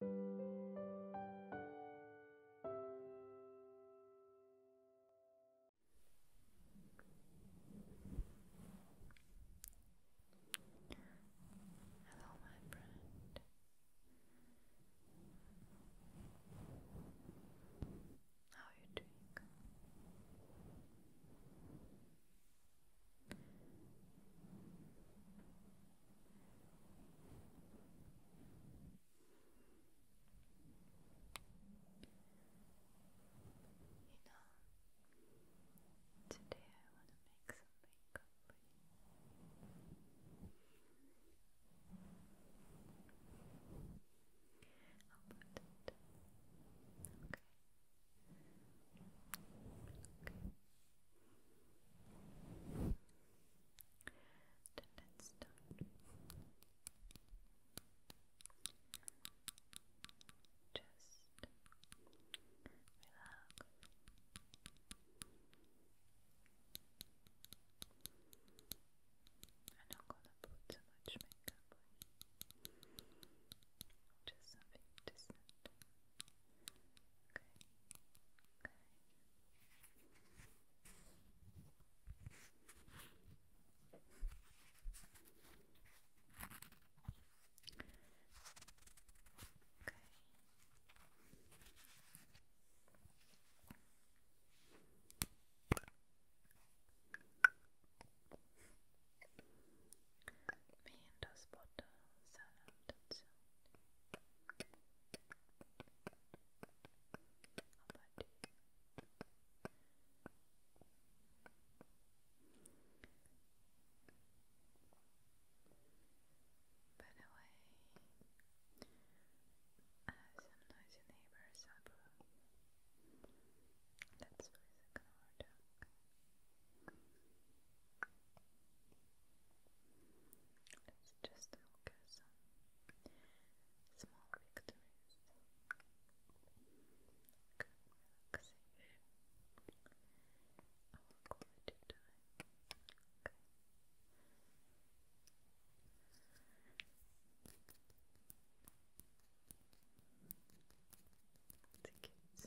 Hello, my friend. How are you doing? You know, today I want to make some makeup you. Okay. Okay. Then let's Just relax. I'm not gonna put too much makeup on. Just something decent. Mihin taas potaa by the way, I have some noisy neighbors up. That's why I can it's just focus on small victories, good relaxation, our quality time. Okay. The kids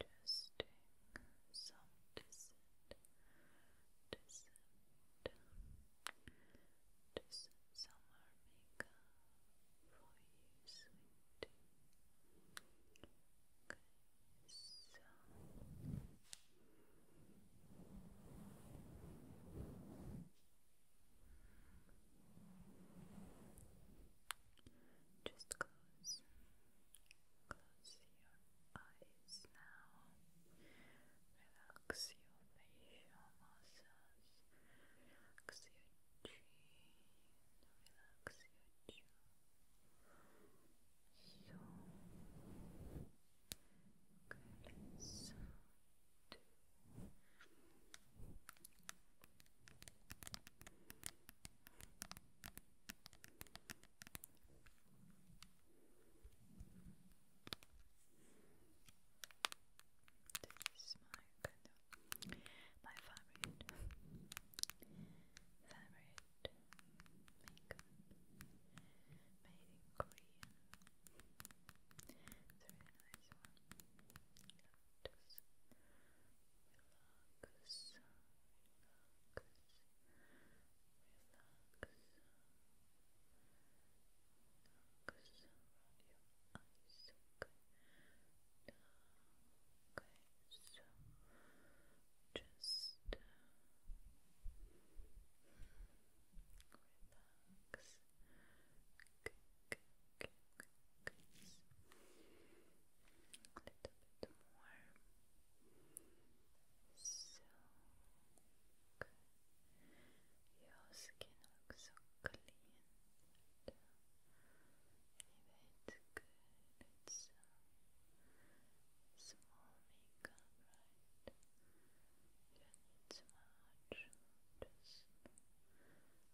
Testing some distant, distant, distant summer makeup for you, sweetie. Okay, so. Just close, close your eyes now. Relax your facial muscles. Relax your jaw. So, okay, this is my favorite favorite makeup made in Korean. It's a really nice one. Lotus. We relax, relax around your eyes, okay? Okay, just relax, crease. A little bit more. So Your skin looks so clean. And, uh, good. It's uh, small makeup, right? You need so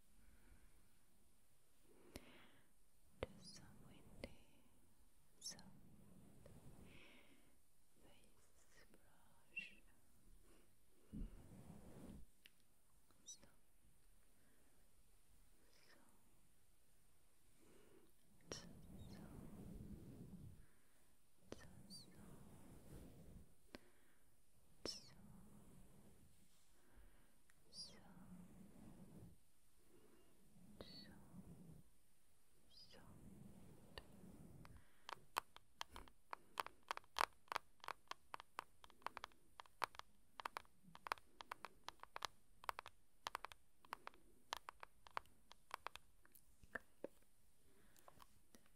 Just some face brush. So, so, so soft.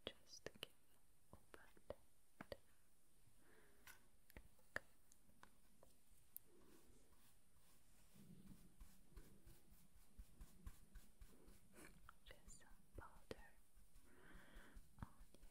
Good. Just abundant. Just powder on your cheeks. Okay, some powder. Okay.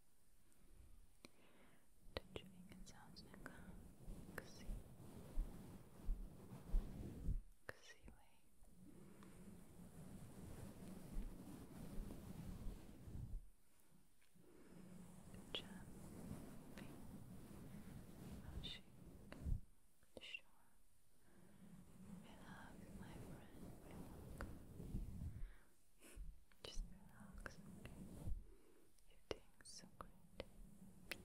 chewing it sounds like a xi xi way jumping, rushing, sure Relax, my friend, just relax, okay? you Okay.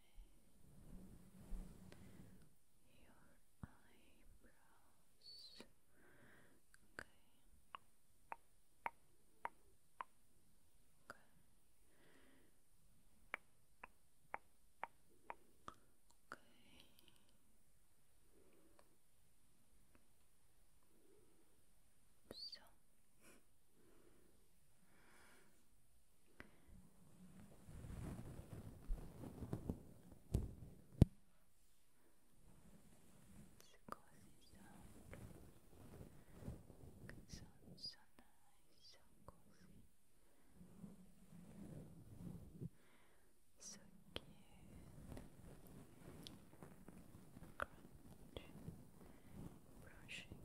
your eyebrows. Okay. Okay. Okay. So it's a cozy sound. It sounds so nice, so cute. Crunch. Brushing.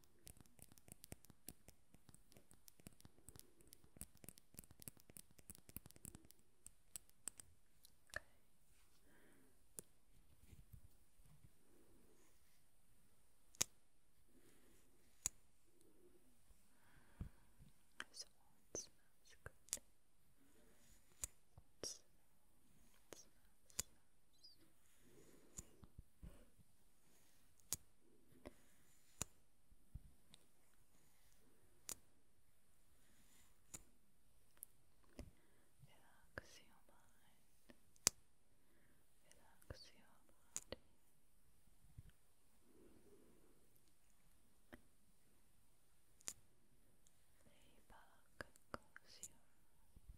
This one smells good. It smells, it smells. Relax your mind. Relax your body. Lay back and close your eyes.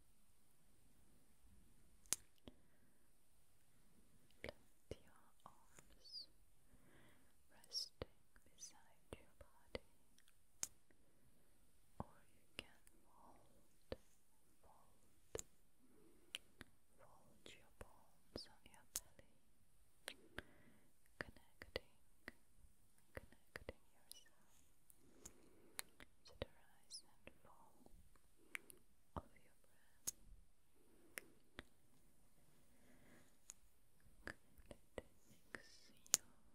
Plant your arms resting beside your body, or you can fold, fold, fold your palms on your belly, connecting, connecting yourself to the rise and fall of your breath. Good. Exhale. Good.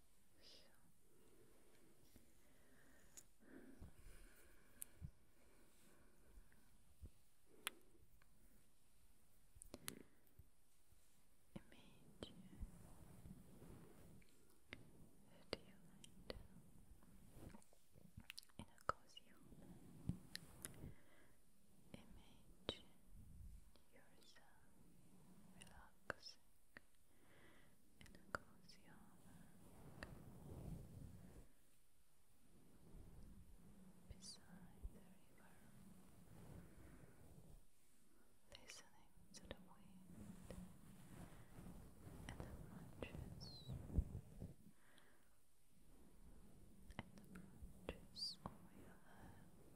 that you lie down a cozy home. Imagine yourself relaxing and across your back beside the river listening to the wind and the branches and the branches over your head like a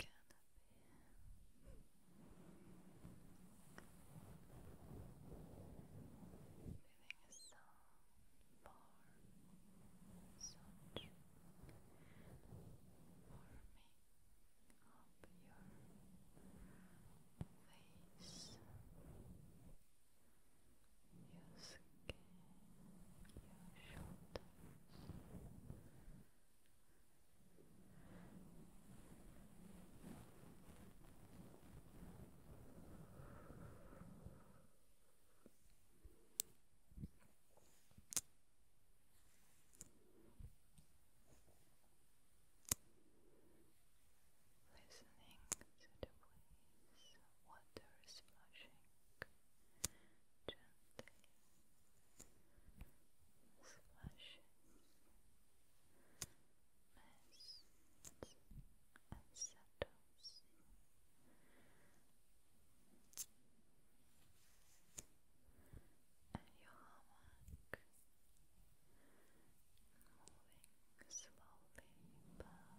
canopy Feeling so far, such warming up your face, your skin, your shoulders. Listening to the waves, water splashing gently slushes, mists, and settles. And your hammock moving slowly back, back,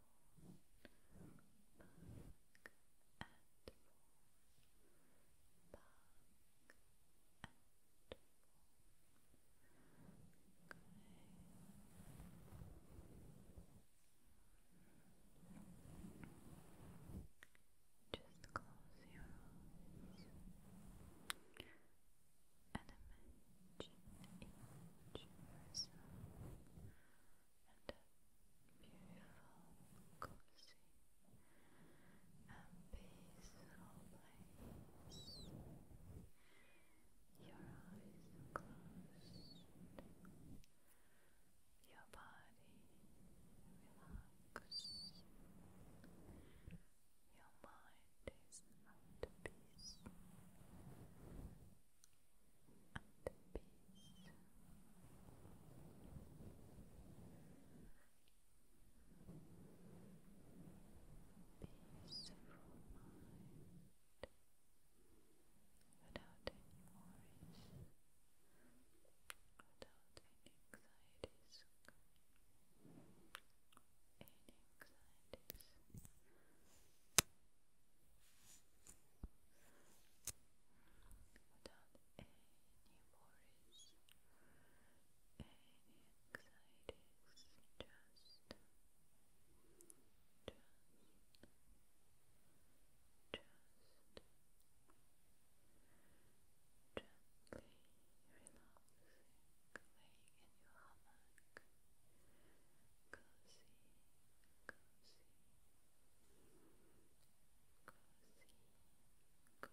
Just close your eyes and imagine each person. Sleeping and a beautiful, cozy and peaceful place. Your eyes are your body relaxed, your mind is at peace and peace. Peaceful mind without worries, without any anxieties, any anxieties without any worries, any anxieties, just, just, just gently relaxing, laying in your hammock cozy, cozy, cozy, cozy, cozy hug. Good.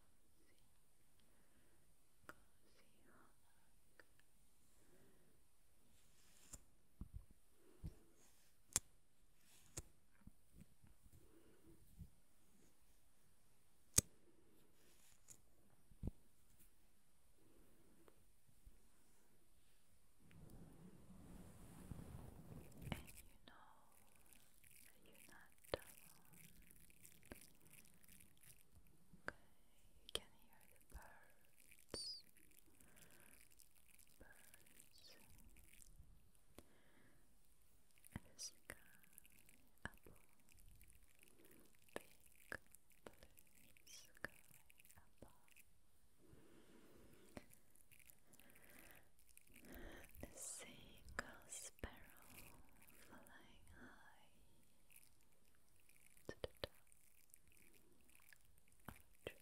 And you know you're not alone. Okay, you can hear the birds. Birds. And the sky Big blue sky the single sparrow flying high to the top of trees.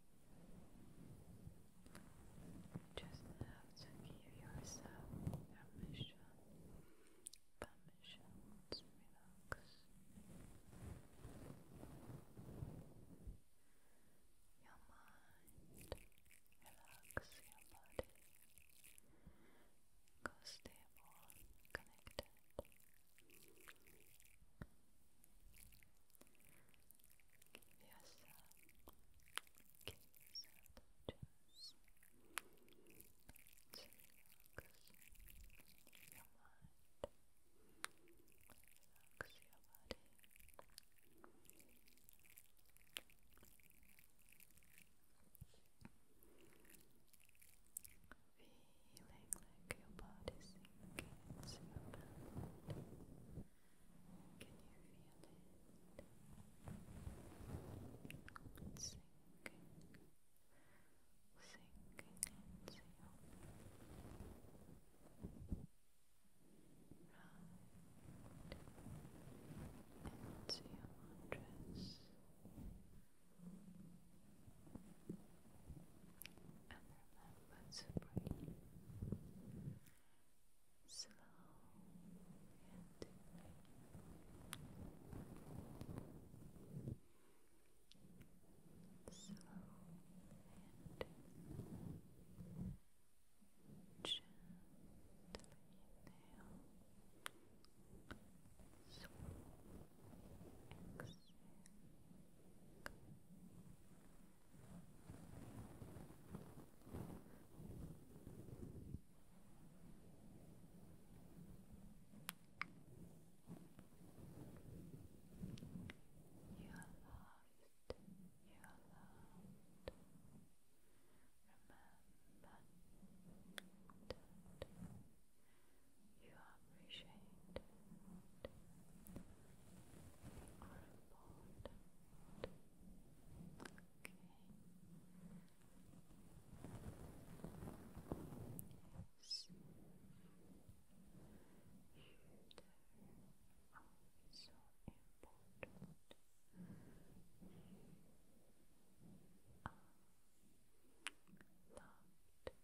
Just have to give yourself permission, permission to relax. Your mind, relax your body. Go stable, connected. Give yourself, give yourself a to relax your mind, relax your body. Feeling like your body's can you feel it? Sinking, sinking into your Right And remember let breathe slow and deeply. Slow and gently inhale. So exhale. You are loved, you are loved. Remember that you are appreciated are important. Okay. Yes. You so important. loved.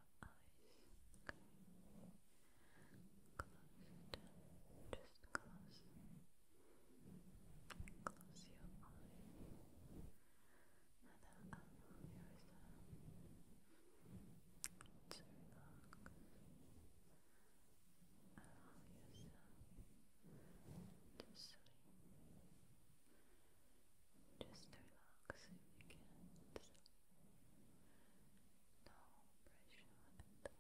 okay? Close just close. Close your eyes. And allow yourself to relax. Allow yourself to sleep. Just relax if you can no pressure on it. No pressure.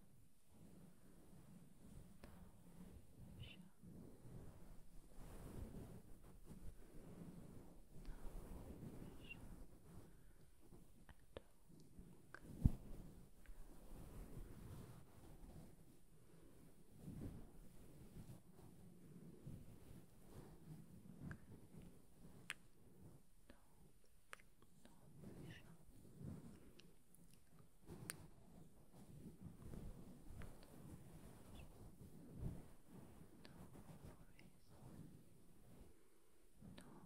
No pressure. And Relax place to go. All that can wait until tomorrow.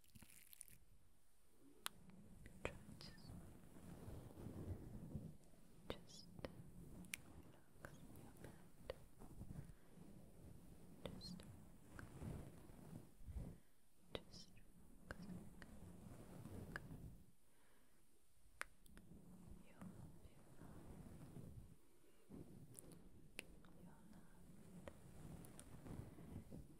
Try to just relax your mind. Just relax. Just relax. Okay. You'll be fine. You're loved.